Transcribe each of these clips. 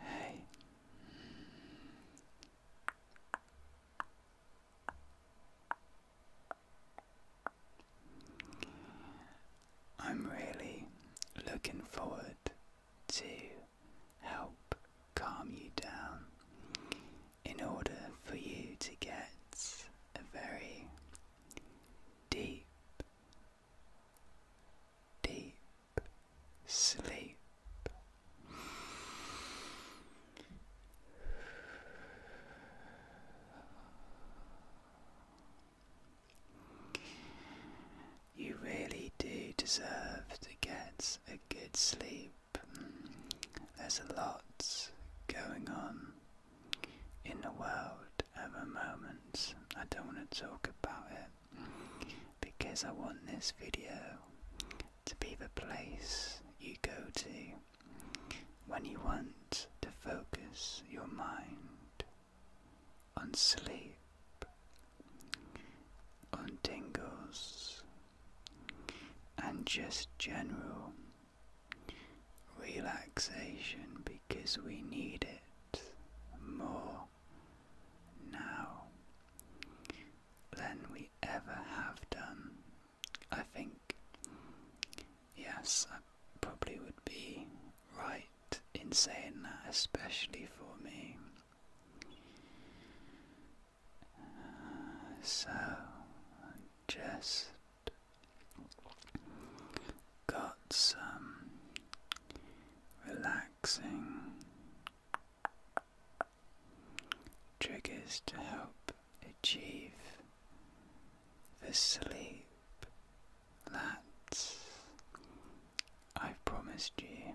Hey. I'm really looking forward to help calm you down in order for you to get a very deep, deep sleep. You really do deserve to get a good sleep there's a lot going on in the world at the moment. I don't want to talk about it because I want this video to be the place you go to when you want to focus your mind on sleep, on tingles and just general relaxation because we need it more now than we ever have done. I think, yes, I probably would be right in saying that, especially for me so I just got some relaxing triggers to help achieve the sleep that I've promised you.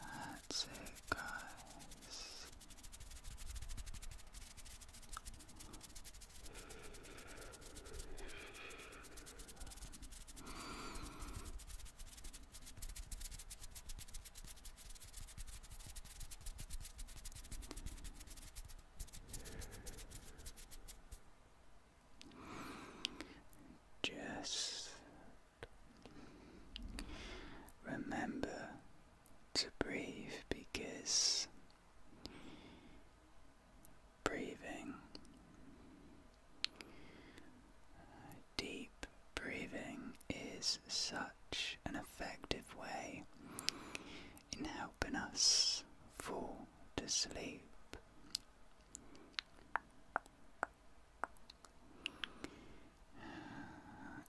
That's it, guys. Just Remember to breathe because breathing, deep breathing, is such an effective way in helping us fall to sleep.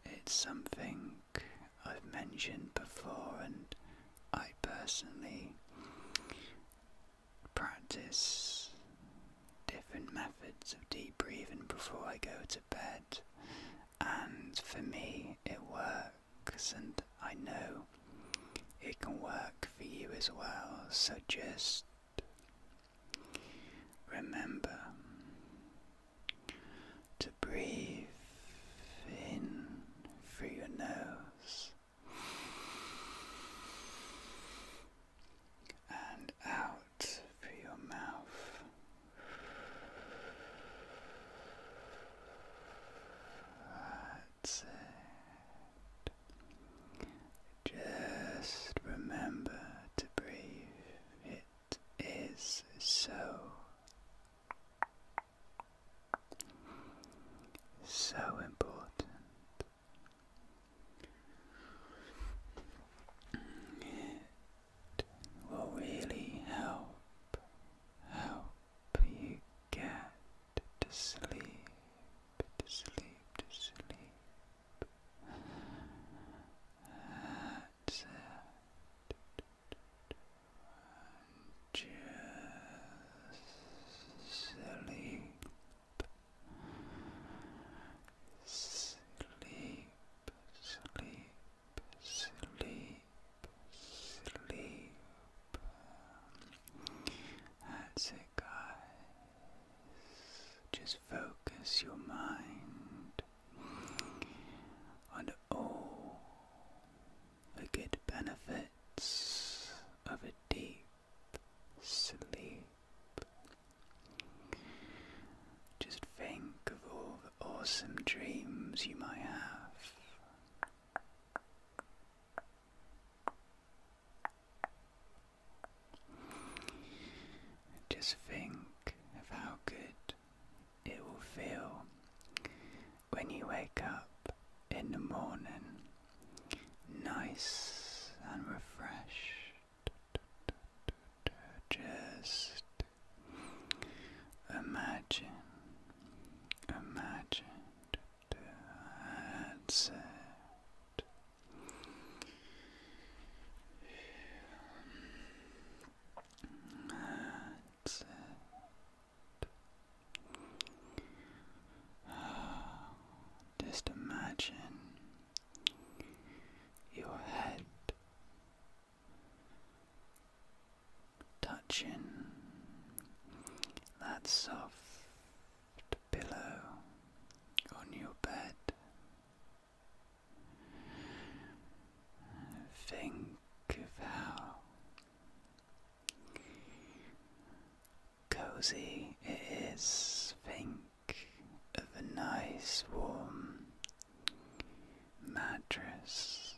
It's something I've mentioned before, and I personally practice different methods of deep breathing before I go to bed, and for me, it works, and I know it can work for you as well. So just Remember to breathe in through your nose and out through your mouth. That's it. Just remember to breathe. It is so, so important. It will really help, help you get to sleep, to sleep, to sleep. That's it. Just sleep. Sleep, sleep, sleep, sleep. That's it, guys. Just focus your mind on all the good benefits of a deep sleep. Just think of all the awesome dreams you might have. Just think of how good it will feel when you wake up in the morning, nice and refreshed. Just imagine, imagine. That's it just imagine your head touching that soft pillow on your bed. Think of how cozy it is. Think of a nice warm mattress.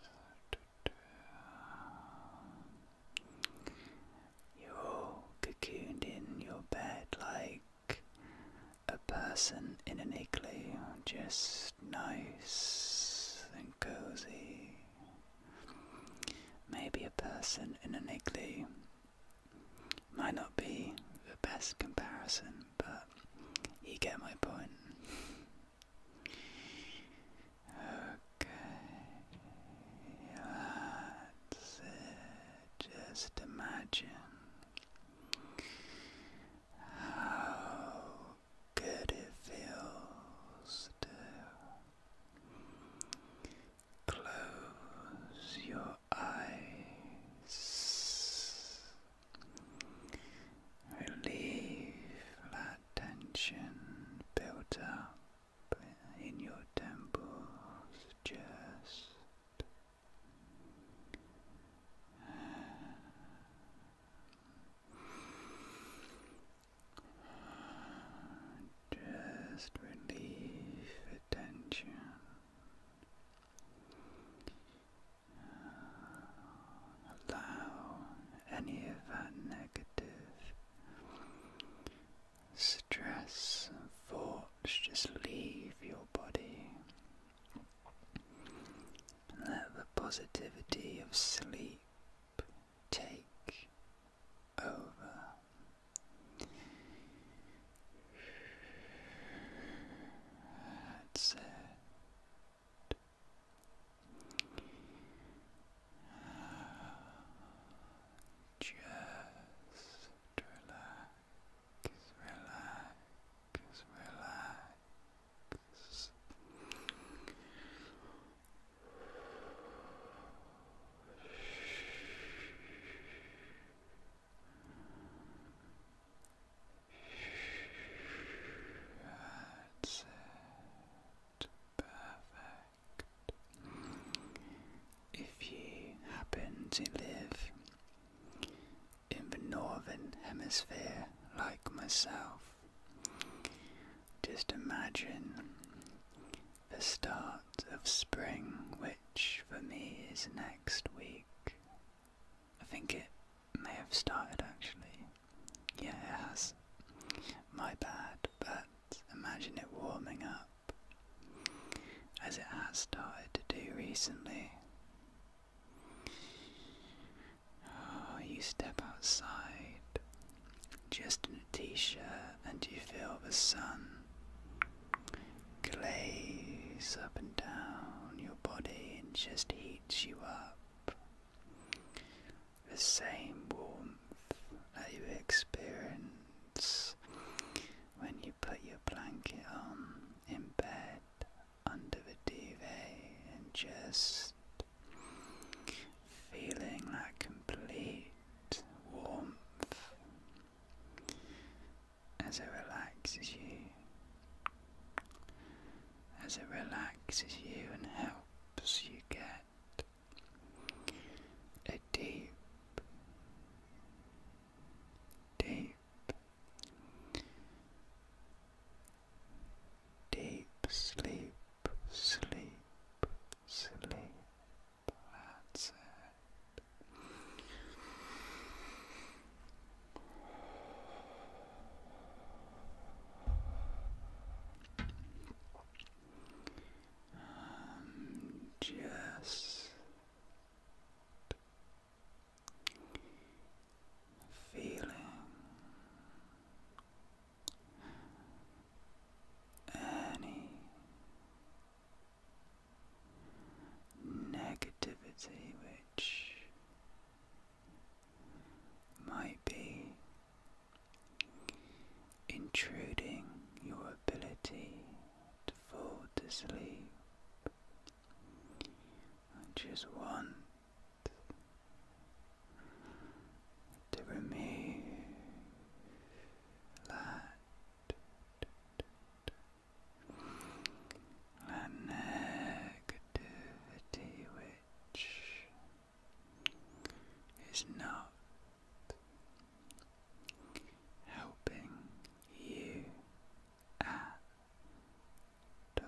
You're cocooned in your bed like a person in an igloo, just nice and cozy. Maybe a person in an igloo might not be the best comparison, but you get my point. Okay, that's it. Just imagine how good it feels to close your eyes, relieve that tension built up in your temples just. Just relieve the tension. Allow any of that negative stress and thoughts just leave your let the positivity of sleep take over. That's it. Just relax relax, relax. That's it. Perfect. If you happen to live in the northern hemisphere like myself. Just imagine the start of spring, which for me is next week. I think it may have started actually. Yeah, it has. My bad, but imagine it warming up as it has started to do recently. Oh, you step outside just in a t shirt and you feel the sun glaze up and down your body and just heats you up. The same warmth that you experience when you put your blanket on in bed under the TV and just feeling that complete warmth as it relaxes you, as it relaxes you and helps you get a deep, deep, deep sleep, sleep, sleep. That's it. Um, just feeling any negativity which might be intruding your ability to fall asleep. I just want to remove that negativity which is not helping you Ah, do,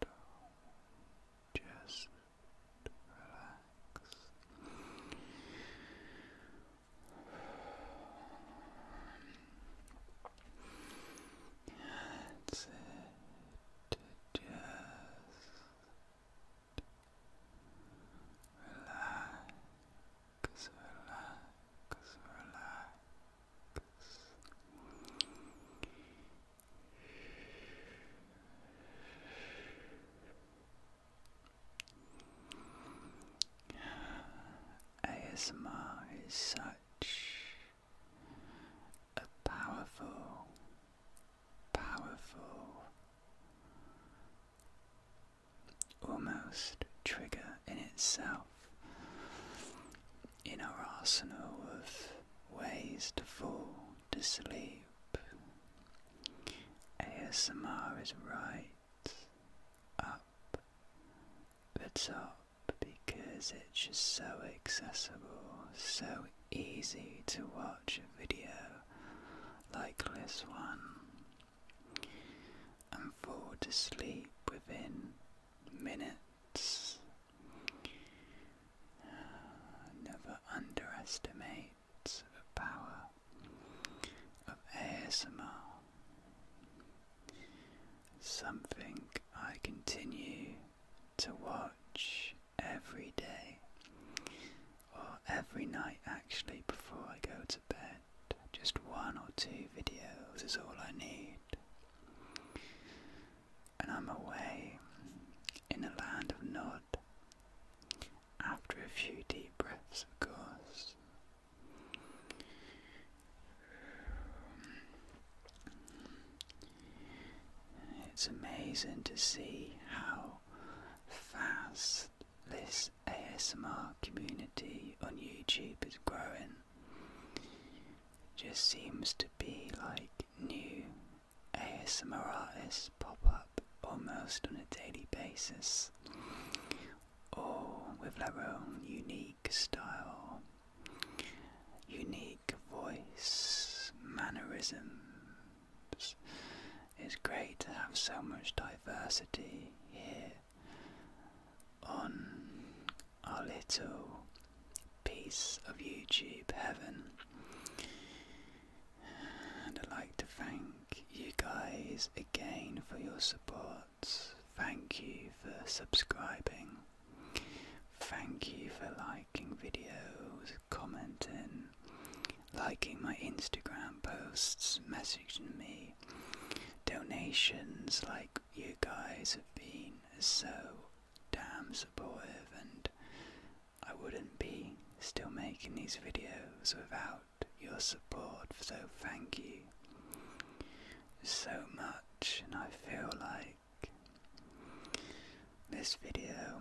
do, just relax. That's it. Just relax relax, relax. ASMR is such a powerful, powerful almost trigger in itself in our arsenal of ways to fall to sleep. ASMR is right up the top because it's just so accessible, so easy to watch a video like this one and fall to sleep within minutes. Uh, never underestimate the power of ASMR. Something I continue to watch every day or every night actually before I go to bed. Just one or two videos is all I need. And I'm away in a land of nod. After a few deep breaths, of course. It's amazing to see how fast this ASMR community on YouTube is growing, just seems to be like new ASMR artists pop up almost on a daily basis, all with their own unique style, unique voice, mannerisms. It's great to have so much diversity here on our little piece of YouTube heaven. And I'd like to thank you guys again for your support. Thank you for subscribing. Thank you for liking videos, commenting, liking my Instagram posts, messaging me donations, like you guys have been so damn supportive, and I wouldn't be still making these videos without your support, so thank you so much, and I feel like this video,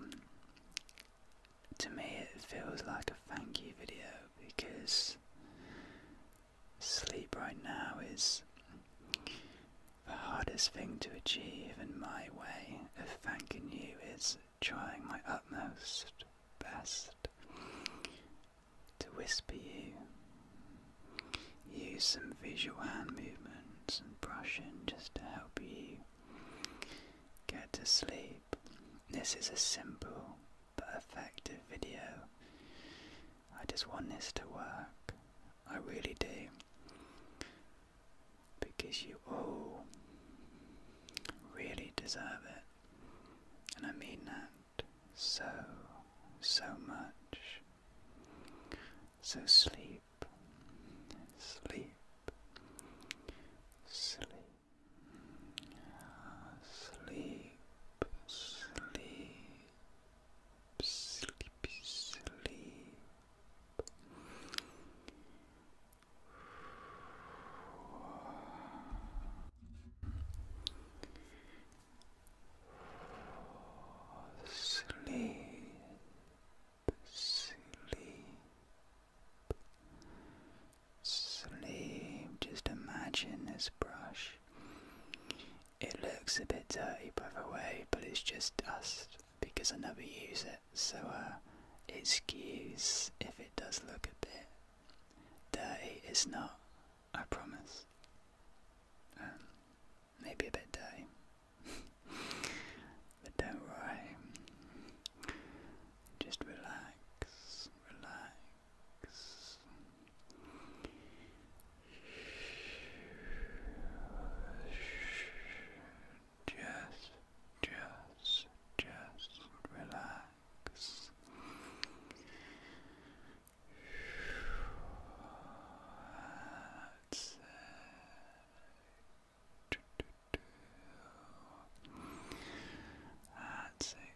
to me, it feels like a thank you video because sleep right now is the hardest thing to achieve, and my way of thanking you is trying my utmost best to whisper you. Use some visual hand movements and brushing just to help you get to sleep. This is a simple but effective video. I just want this to work. I really do. Because you all really deserve it. And I mean that so, so much. So sleep, sleep, sleep. Sleep, sleep, sleepy, sleep. Sleep, sleep, sleeve. Just imagine this brush. It looks a bit dirty by the way, but it's just dust because I never use it. So uh, excuse if it does look a bit dirty. It's not, I promise. Um, maybe a bit dirty. but don't worry. Just relax, relax. Just, just, just relax. That's it. That's it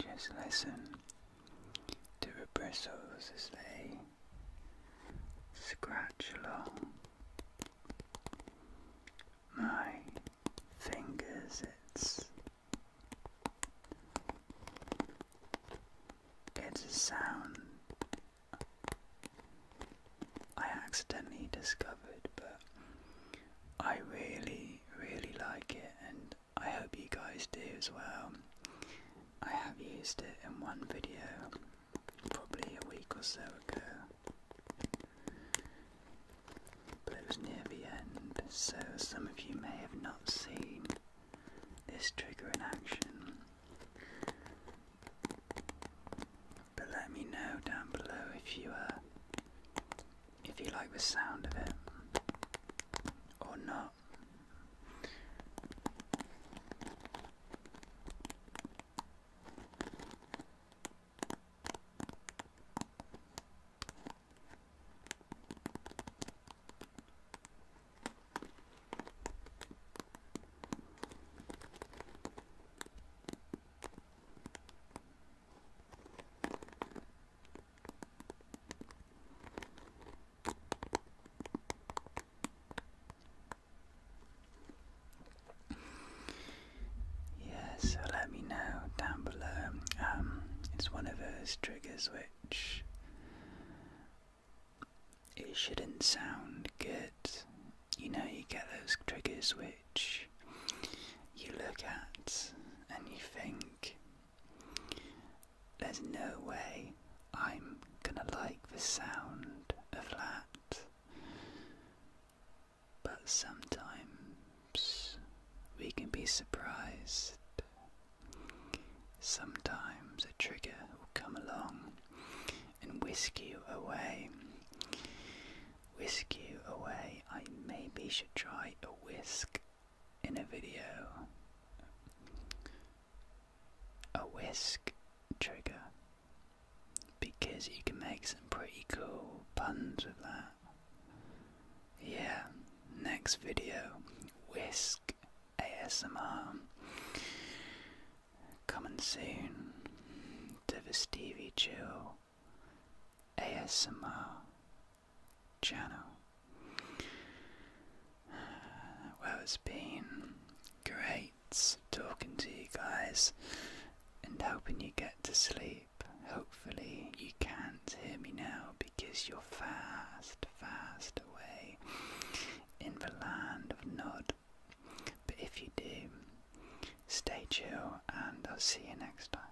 just listen to the bristles as they scratch along my fingers. It's it's a sound I accidentally discovered, but I really, really like it, and I hope you guys do as well. I have used it in one video probably a week or so ago. But it was near the end, so some of you may have not seen this trigger in action. But let me know down below if you uh, if you like the sound of it or not. Yes, so let me know down below. Um, it's one of those triggers which it shouldn't sound good. You know, you get those triggers which you look at and you think there's no way I'm gonna like the sound of that. But sometimes we can be surprised. Sometimes a trigger will come along and whisk you away. Whisk you away. I maybe should try a whisk in a video. A whisk trigger. Because you can make some pretty cool puns with that. Yeah, next video whisk ASMR. Coming soon to the Stevie Chill ASMR channel. Well, it's been great talking to you guys and helping you get to sleep. Hopefully, you can't hear me now because you're fast, fast away in the land of Nod. But if you do, stay chill and I'll see you next time.